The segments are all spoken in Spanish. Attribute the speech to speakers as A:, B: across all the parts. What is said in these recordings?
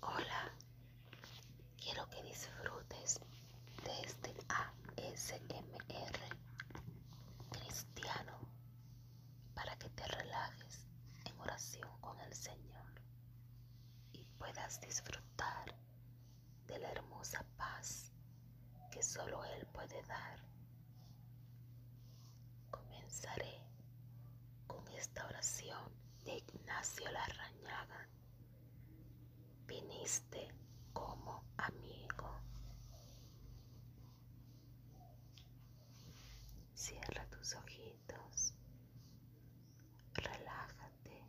A: Hola, quiero que disfrutes de este ASMR cristiano para que te relajes en oración con el Señor y puedas disfrutar de la hermosa paz que solo Él puede dar. Comenzaré con esta oración de Ignacio Larrañaga. Viniste como amigo. Cierra tus ojitos, relájate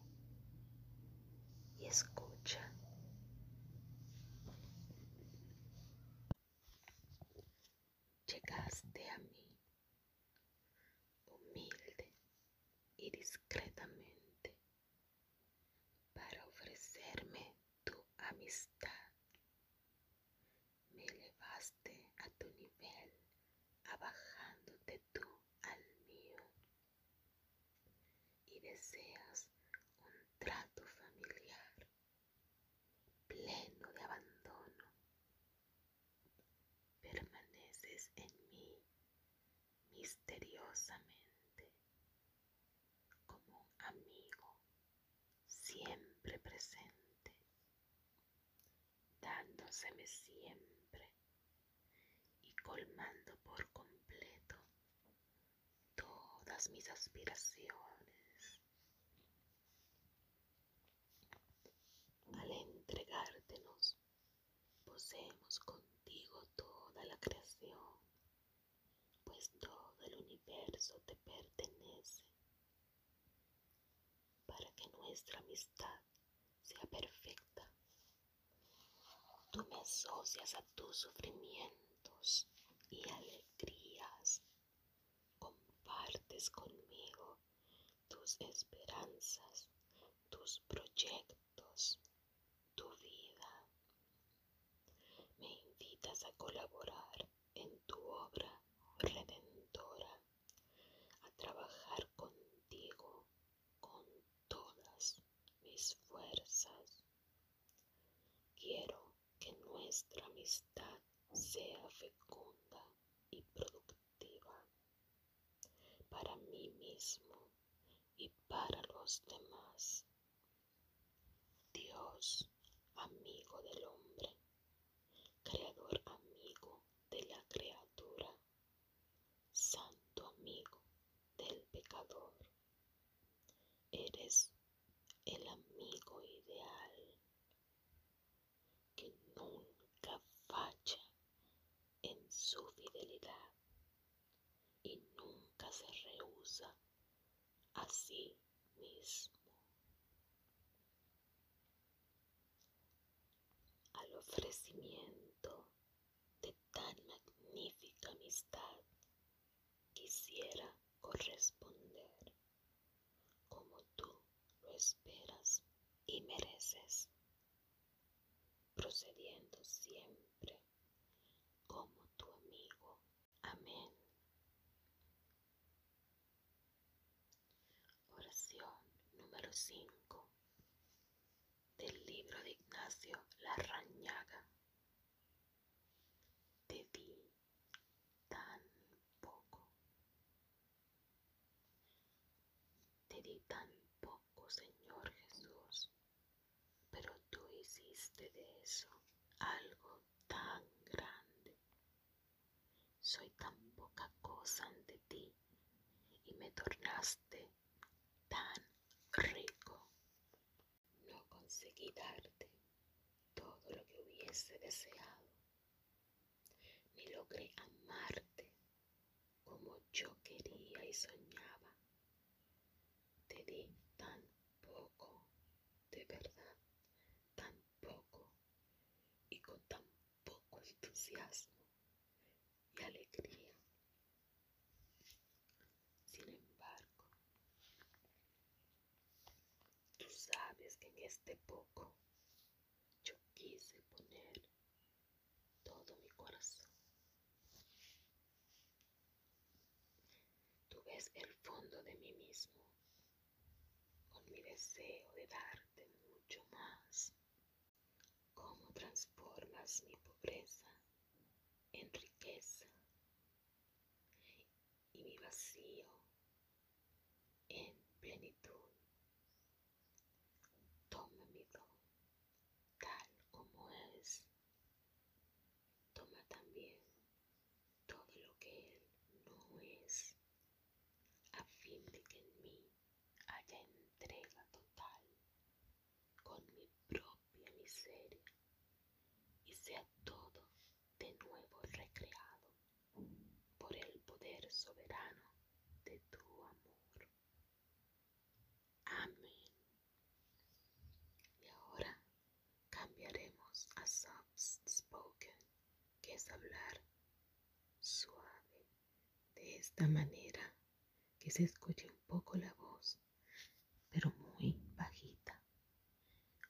A: y escucha. Llegaste a mí humilde y discretamente para ofrecerme tu amistad. Me elevaste a tu nivel, abajándote tú al mío, y deseas un trato familiar, pleno de abandono, permaneces en mí misteriosamente, como un amigo siempre presente, dándoseme siempre y colmando por completo todas mis aspiraciones, al entregártenos, poseemos contigo toda la creación, pues todo el universo te pertenece, para que nuestra amistad sea perfecta. Tú me asocias a tus sufrimientos y alegrías, compartes conmigo tus esperanzas, tus proyectos, tu vida. Me invitas a colaborar en tu obra redentora, a trabajar contigo con todas mis fuerzas. Quiero que nuestra amistad sea fecunda y productiva para mí mismo y para los demás. Dios, amigo del hombre, creador amigo de la criatura, santo amigo del pecador, eres el amigo ideal que nunca falla en su fidelidad y nunca se rehúsa a sí mismo. Al ofrecimiento de tan magnífica amistad quisiera corresponder como tú lo esperas y mereces procediendo siempre como tu amigo. Amén. Oración número 5 del libro de Ignacio Larrañaga. Te di tan poco te di tan poco, Señor Jesús, pero tú hiciste de eso algo tan grande. Soy tan poca cosa ante ti y me tornaste tan rico. No conseguí darte todo lo que hubiese deseado ni logré amarte como yo quería y soñaba. Te di tan poco, de verdad, tan poco, y con tan poco entusiasmo y alegría. Sin embargo, tú sabes que en este poco yo quise poner todo mi corazón. Tú ves el fondo de mí mismo, con mi deseo de darte mucho más. Cómo transformas mi pobreza en riqueza y mi vacío en plenitud. Toma mi don tal como es. Toma también todo lo que Él no es, a fin de que en mí haya entrega total con mi propia miseria y sea todo de nuevo recreado por el poder soberano de tu amor. Amén. Y ahora cambiaremos a soft spoken, que es hablar suave. De esta manera que se escuche un poco la voz, pero muy bajita.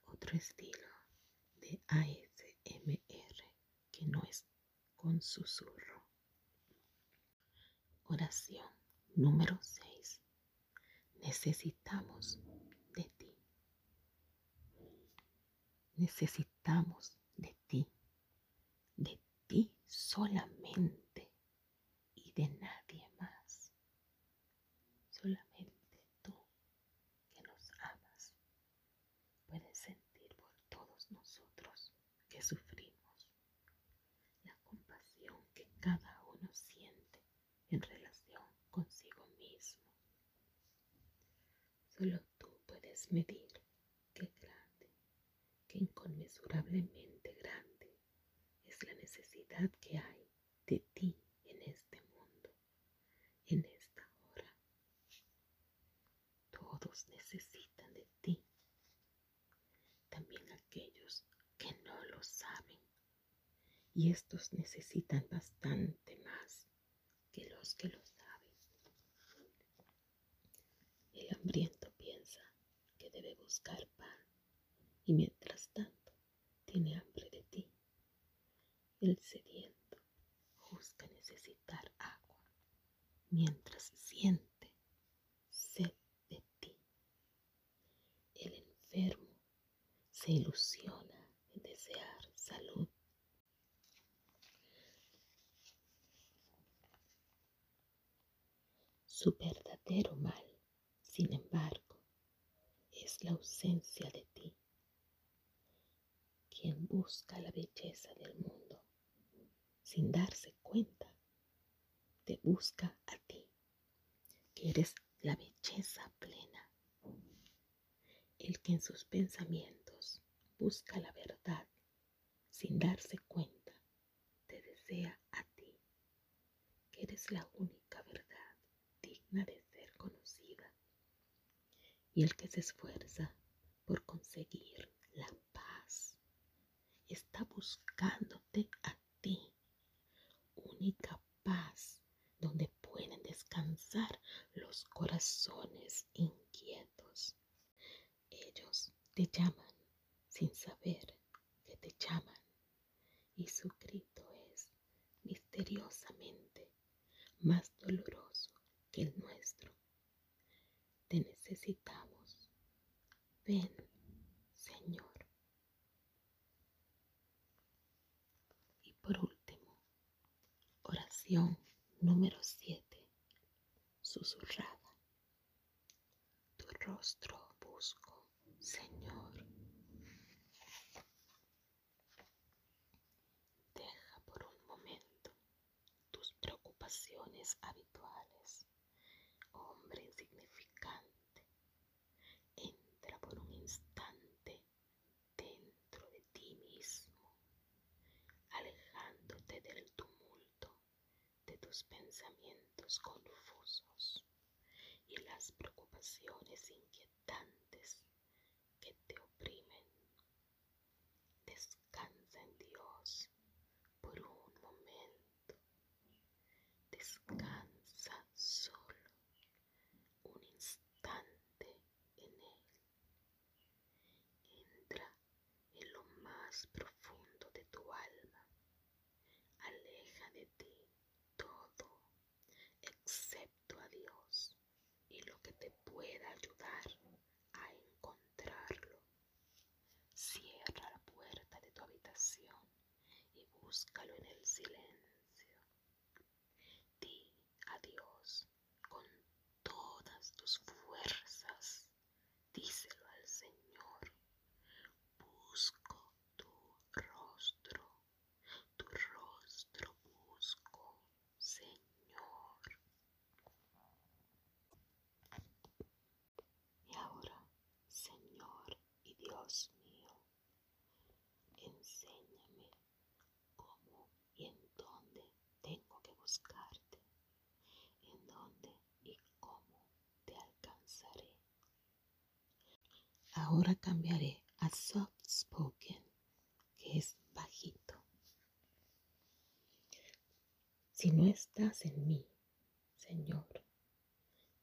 A: Otro estilo de ASMR que no es con susurro. Oración número 6. Necesitamos de ti. Necesitamos de ti. De ti solamente y de nadie más. Solamente tú que nos amas Puedes sentir por todos nosotros que sufrimos, la compasión que cada uno siente en relación consigo mismo. Solo tú puedes medir qué grande, qué inconmensurablemente grande es la necesidad que hay de ti en este mundo, en esta hora. Todos necesitan de ti. También aquellos que no lo saben. Y estos necesitan bastante más que los que lo saben. El hambriento piensa que debe buscar pan y mientras tanto tiene hambre de ti. El sediento busca necesitar agua mientras siente sed de ti. El enfermo se ilusiona en desear salud. Su verdadero mal, sin embargo, es la ausencia de ti. Quien busca la belleza del mundo sin darse cuenta, te busca a ti, que eres la belleza plena. El que en sus pensamientos busca la verdad, sin darse cuenta, te desea a ti, que eres la única verdad digna de ser conocida. Y el que se esfuerza por conseguir la paz Está buscándote a ti. Única paz donde pueden descansar los corazones inquietos. Ellos te llaman sin saber que te llaman. Y su grito es misteriosamente más doloroso que el nuestro. Te necesitamos. Ven, Señor. Y por último, oración número siete susurrada. Tu rostro busco, Señor. Deja por un momento tus preocupaciones habituales. Hombre insignificante, entra por un instante dentro de ti mismo, alejándote del tumulto de tus pensamientos confusos y las preocupaciones inquietantes que te oprimen. Descansa en Dios por un momento. Descansa solo un instante en Él. Entra en lo más profundo de tu alma. Aleja de ti todo excepto a Dios y lo que te pueda ayudar a encontrarlo. Cierra la puerta de tu habitación y búscalo en el silencio. Di adiós con todas tus fuerzas. Díselo al Señor. Busco tu rostro. Tu rostro busco, Señor. Y ahora, Señor y Dios mío, enséñame cómo y en dónde tengo que buscarte, en dónde y cómo te alcanzaré. Ahora cambiaré a soft spoken, que es bajito. Si no estás en mí, Señor,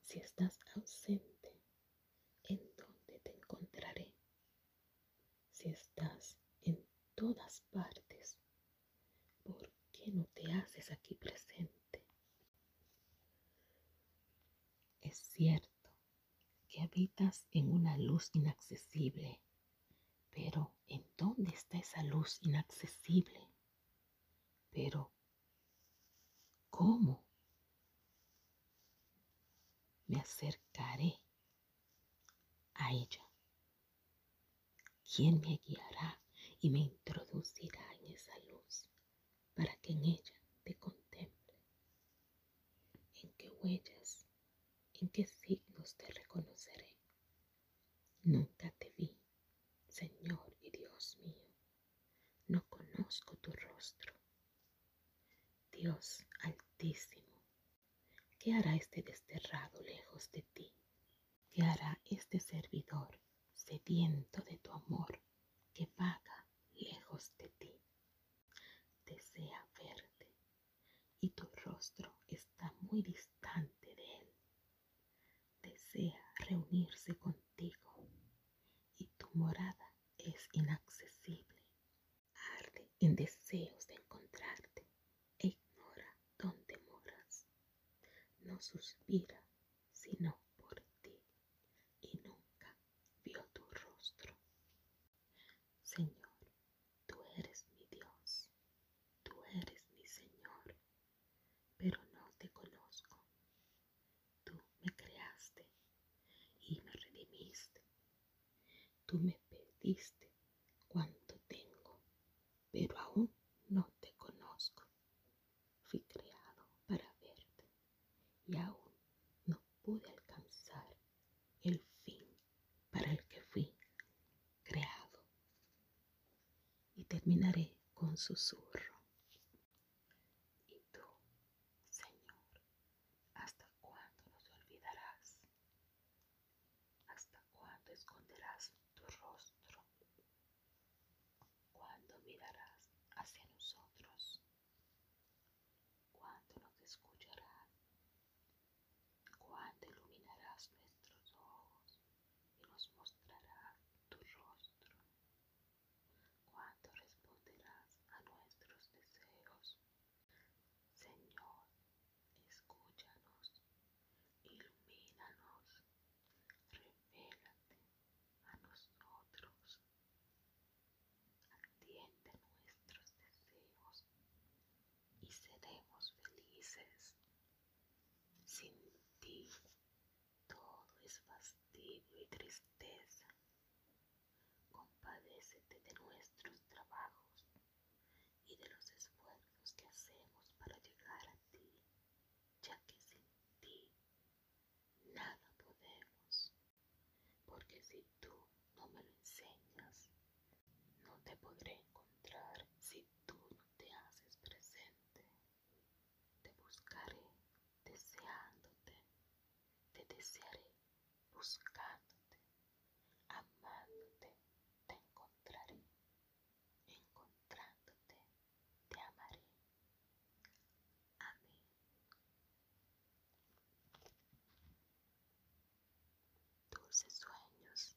A: si estás ausente, ¿en dónde te encontraré? Si estás en todas partes, ¿por qué no te haces aquí presente? Es cierto que habitas en una luz inaccesible, pero ¿en dónde está esa luz inaccesible? Pero, ¿cómo? Me acercaré a ella. ¿Quién me guiará y me introducirá en esa luz para que en ella te contemple? ¿En qué huellas, en qué signos te reconoceré? Nunca te vi, Señor y Dios mío. No conozco tu rostro. Dios altísimo, ¿qué hará este desterrado lejos de ti? ¿Qué hará este servidor sediento de tu amor que vaga lejos de ti? Desea verte y tu rostro está muy distante de él desea reunirse contigo y tu morada es inaccesible. Arde en deseos de encontrarte e ignora dónde moras. No suspira sino por ti y nunca vio tu rostro. Señor, tú eres mi Dios, tú eres mi Señor pero no te conozco. Tú me creaste y me redimiste. Tú me pediste cuanto tengo, pero aún no te conozco. Fui creado para verte y aún no pude alcanzar el fin para el que fui creado. Y terminaré con susurro. ¿Y tú, Señor, hasta cuándo nos olvidarás? ¿Hasta cuándo esconderás tu rostro? ¿Cuándo mirarás hacia nosotros? ¿Cuándo nos escucharás? ¿Cuándo iluminarás nuestros ojos? y nos mostrará tu rostro. Cuando responderás a nuestros deseos, Señor, escúchanos, ilumínanos, revélate a nosotros, atiende nuestros deseos y seremos felices. Sin ti todo es fastidio y tristeza. Compadécete de nuestros trabajos y de los esfuerzos que hacemos para llegar a ti, ya que sin ti nada podemos. Porque si tú no me lo enseñas, no te podré encontrar si tú no te haces presente. Te buscaré deseándote, te desearé buscándote, amándote, te encontraré, encontrándote, te amaré. Amén. Dulces sueños.